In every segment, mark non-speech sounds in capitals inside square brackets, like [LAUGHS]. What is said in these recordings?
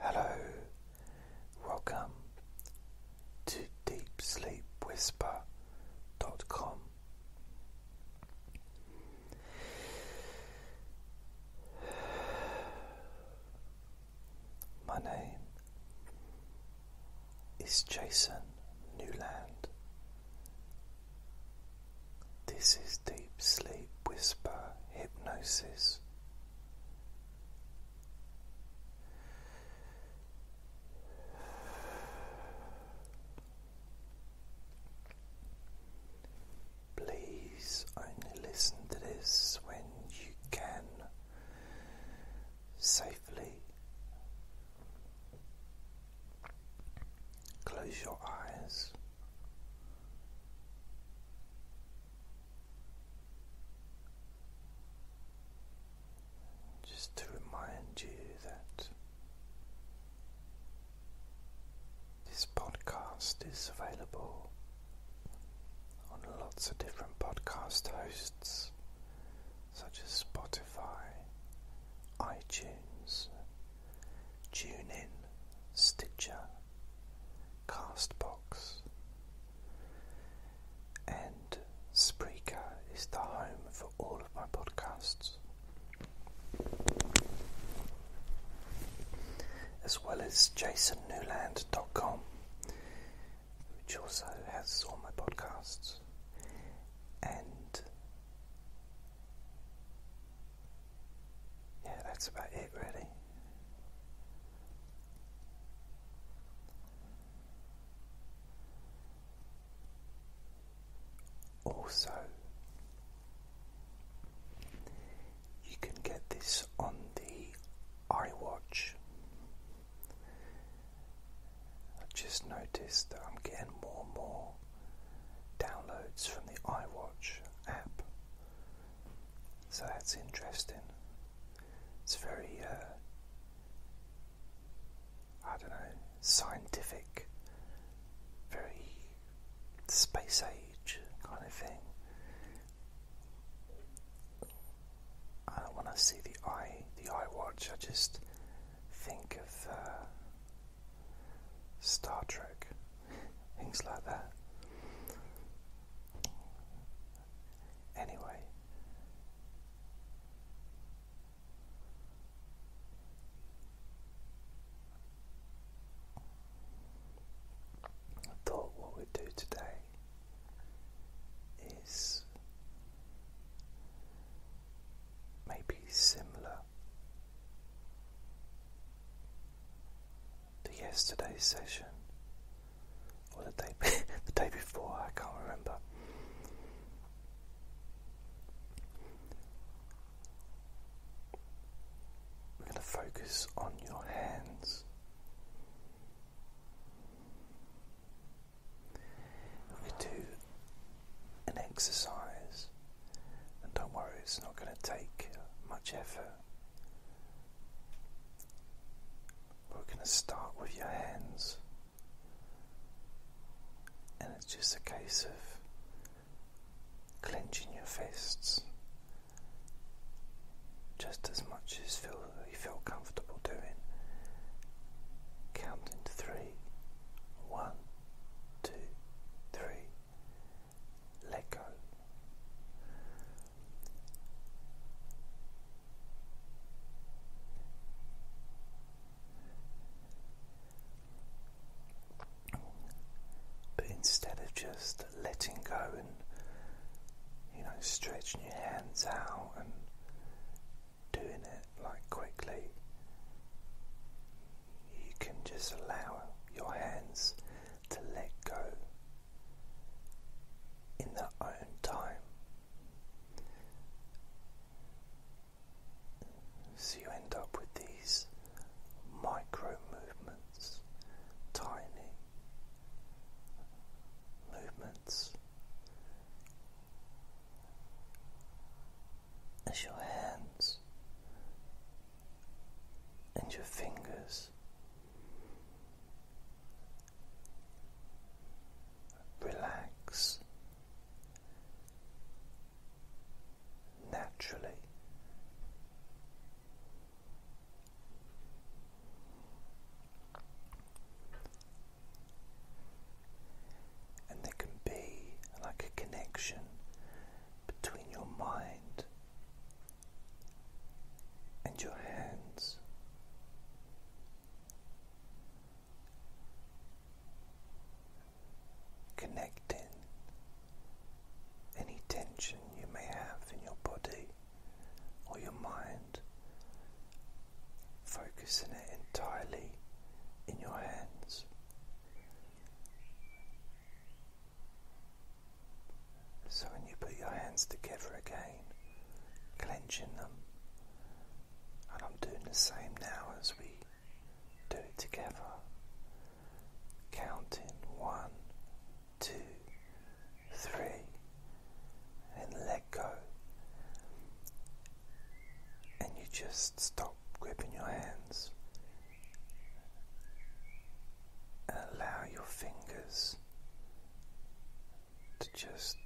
Hello, welcome to dot com. My name is Jason Newland. This is Deep Sleep Whisper Hypnosis Please only listen to this when you can safely. Close your eyes just to remind you that this podcast is available on lots of different podcast hosts such as Spotify, iTunes, TuneIn, Stitcher. Castbox. And Spreaker is the home for all of my podcasts, as well as jasonnewland.com, which also has all my podcasts, and yeah, that's about it, really. Also, you can get this on the iWatch. I just noticed that I'm getting more and more downloads from the iWatch app. So that's interesting. It's very, uh, I don't know, scientific, very space age kind of thing. Uh, want to see the eye, the eye watch, I just think of uh, Star Trek things like that. Anyway, I thought what we'd do today is maybe similar to yesterday's session, or the day [LAUGHS] the day before. I can't remember. We're going to focus on your hands. We do an exercise, and don't worry, it's not going to take much effort. We're going to start with your hands, and it's just a case of clenching your fists just as much as you feel comfortable doing. Counting to three. One, let go. But instead of just letting go and you know stretching your hands out and doing it like quickly, you can just allow your hands to let go in their own time. So you end up with these micro movements, tiny movements as your hands and your fingers Relax naturally. And there can be like a connection between your mind and your hands. Connecting any tension you may have in your body or your mind, focusing it entirely in your hands. So when you put your hands together again, clenching them, and I'm doing the same now as we do it together, counting one, two, three, and let go. And you just stop gripping your hands and allow your fingers to just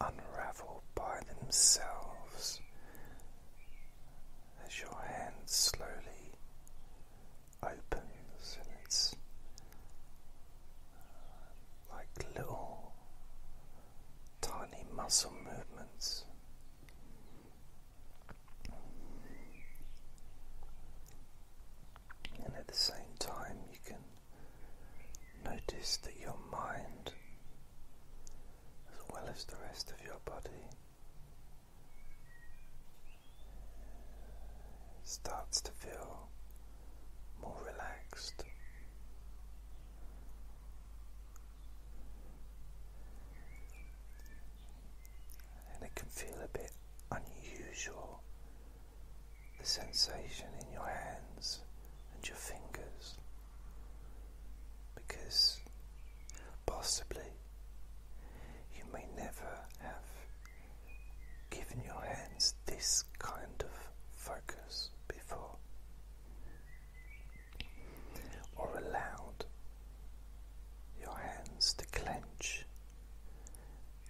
unravel by themselves as your hand slowly opens and it's like little tiny muscle movements. And at the same time, you can notice that your mind, as well as the rest of your body, starts to feel more relaxed, and it can feel a bit unusual the sensation in your hands and your fingers because possibly you may never have given your hands this kind of focus before or allowed your hands to clench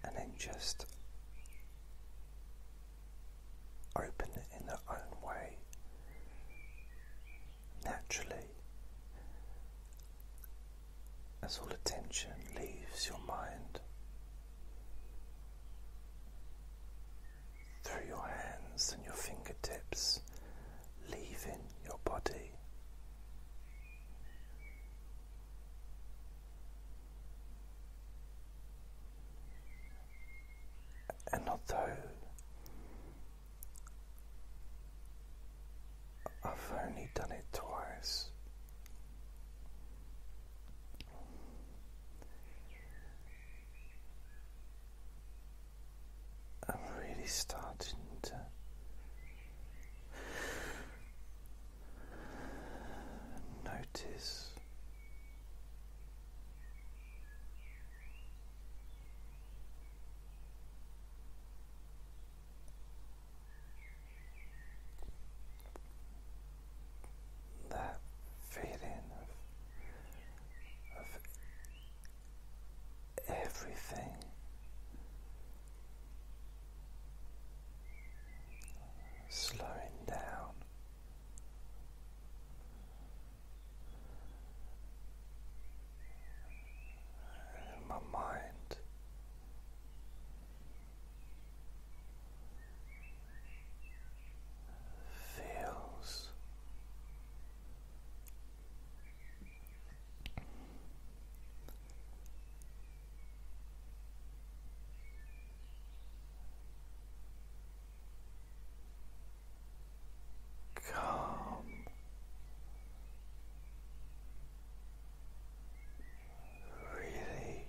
and then just open it in their own way naturally as all attention leaves your mind through your hands and your fingertips, leaving your body. And although I've only done it twice, I'm really starting to notice that feeling of everything. Slowing down, my mind feels Calm really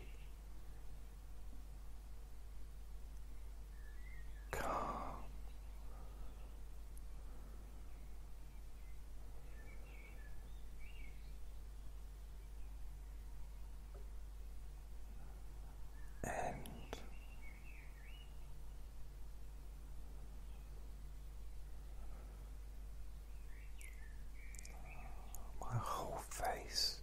calm. And my whole face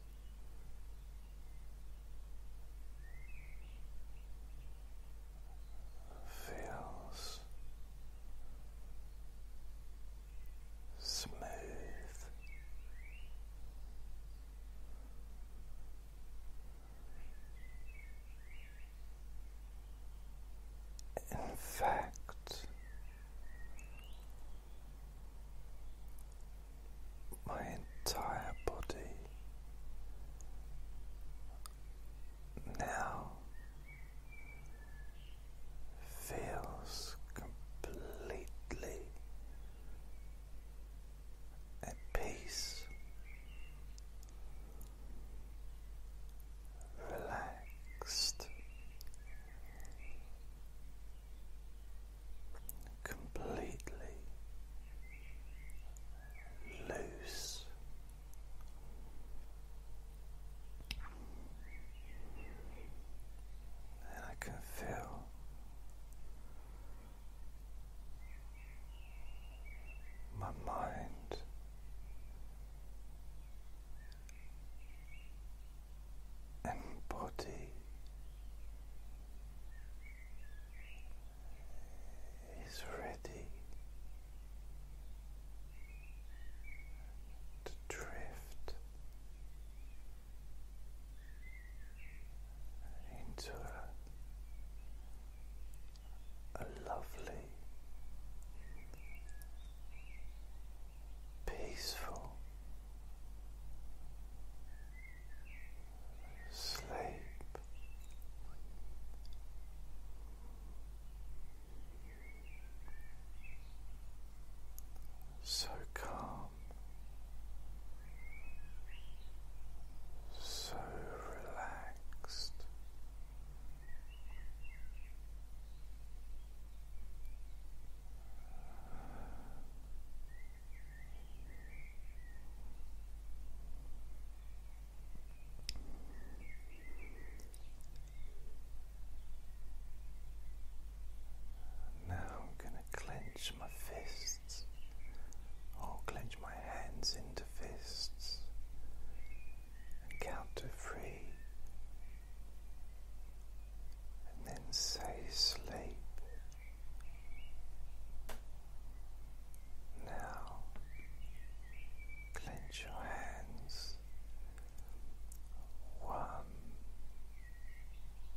feels smooth. In fact, my entire body now feels completely at peace. Relaxed, completely loose. And I can feel my mind and body is ready to drift into a, lovely, peaceful sleep. So calm, so relaxed, now I'm going to clench my fists I'll clench my hands into fists and count to three and then say sleep now, clench your hands. One,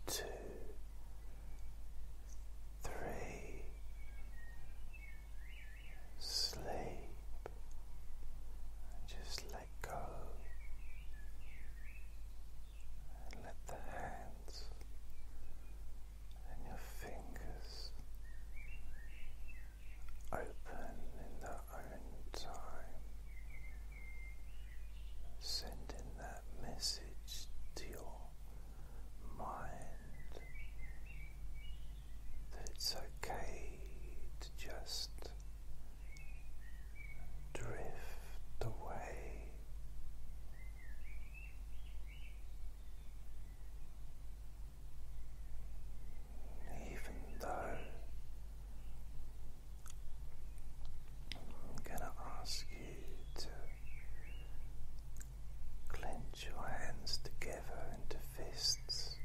two, three. Sleep. just let go. And let the hands and your fingers open in their own time, sending that message to your mind that it's okay to just drift away. Even though I'm going to ask you to clench your hands together into fists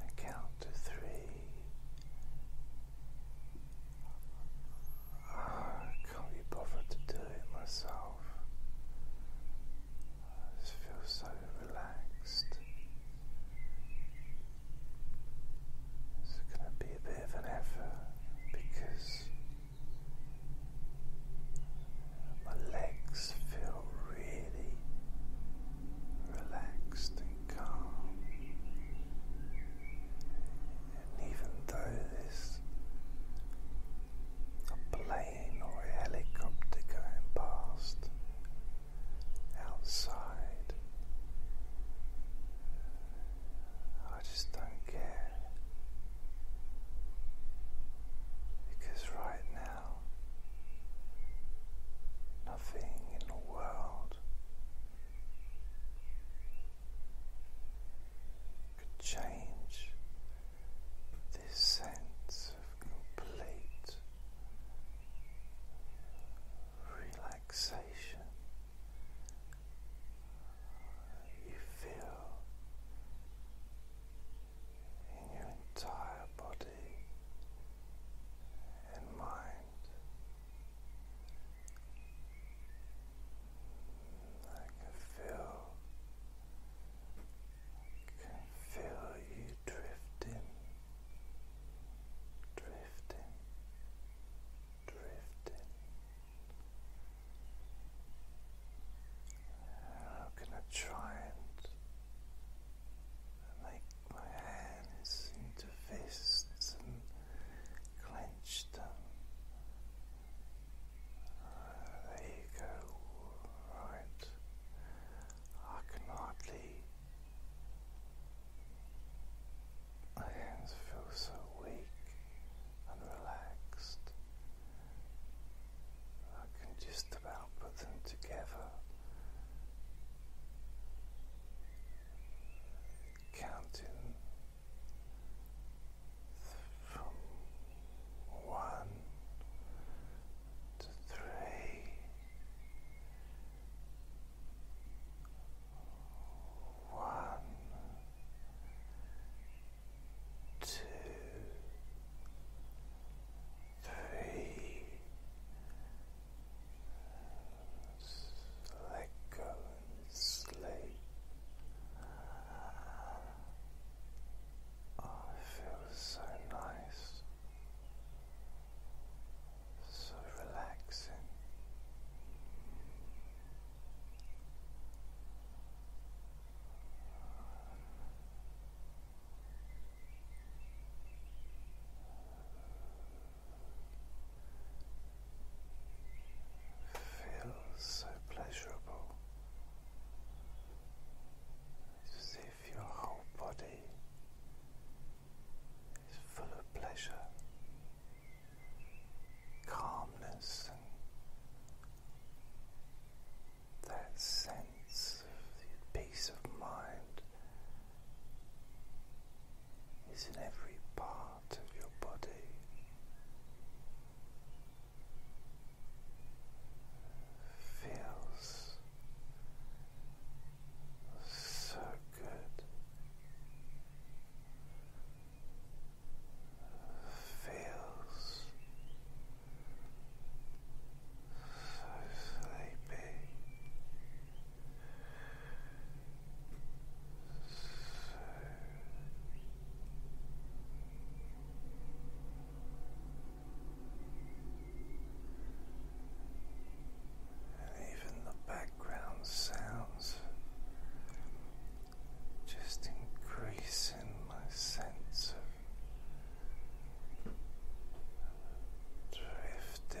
and count to three. Oh, can't be bothered to do it myself. I just feel so relaxed. It's going to be a bit of an effort because my legs feel really relaxed and calm even though there's a plane or a helicopter going past outside, I just don't care. Because right now, nothing in the world could change this sense of complete relaxation. You feel in your entire body and mind. I can feel can feel you drifting, drifting, drifting. How can I try and make my hands into fists and clench them there you go, right. I can hardly. My hands feel so weak and relaxed. I can just about put them together. Counting from one to three. One, Let go sleep. Oh, it so nice, so relaxing feels so pleasurable. as if your whole body is full of pleasure, calmness, and that sense of peace of mind is in every part of your body feels so good. Feels so sleepy, and even the background sounds just increasing my sense of drifting.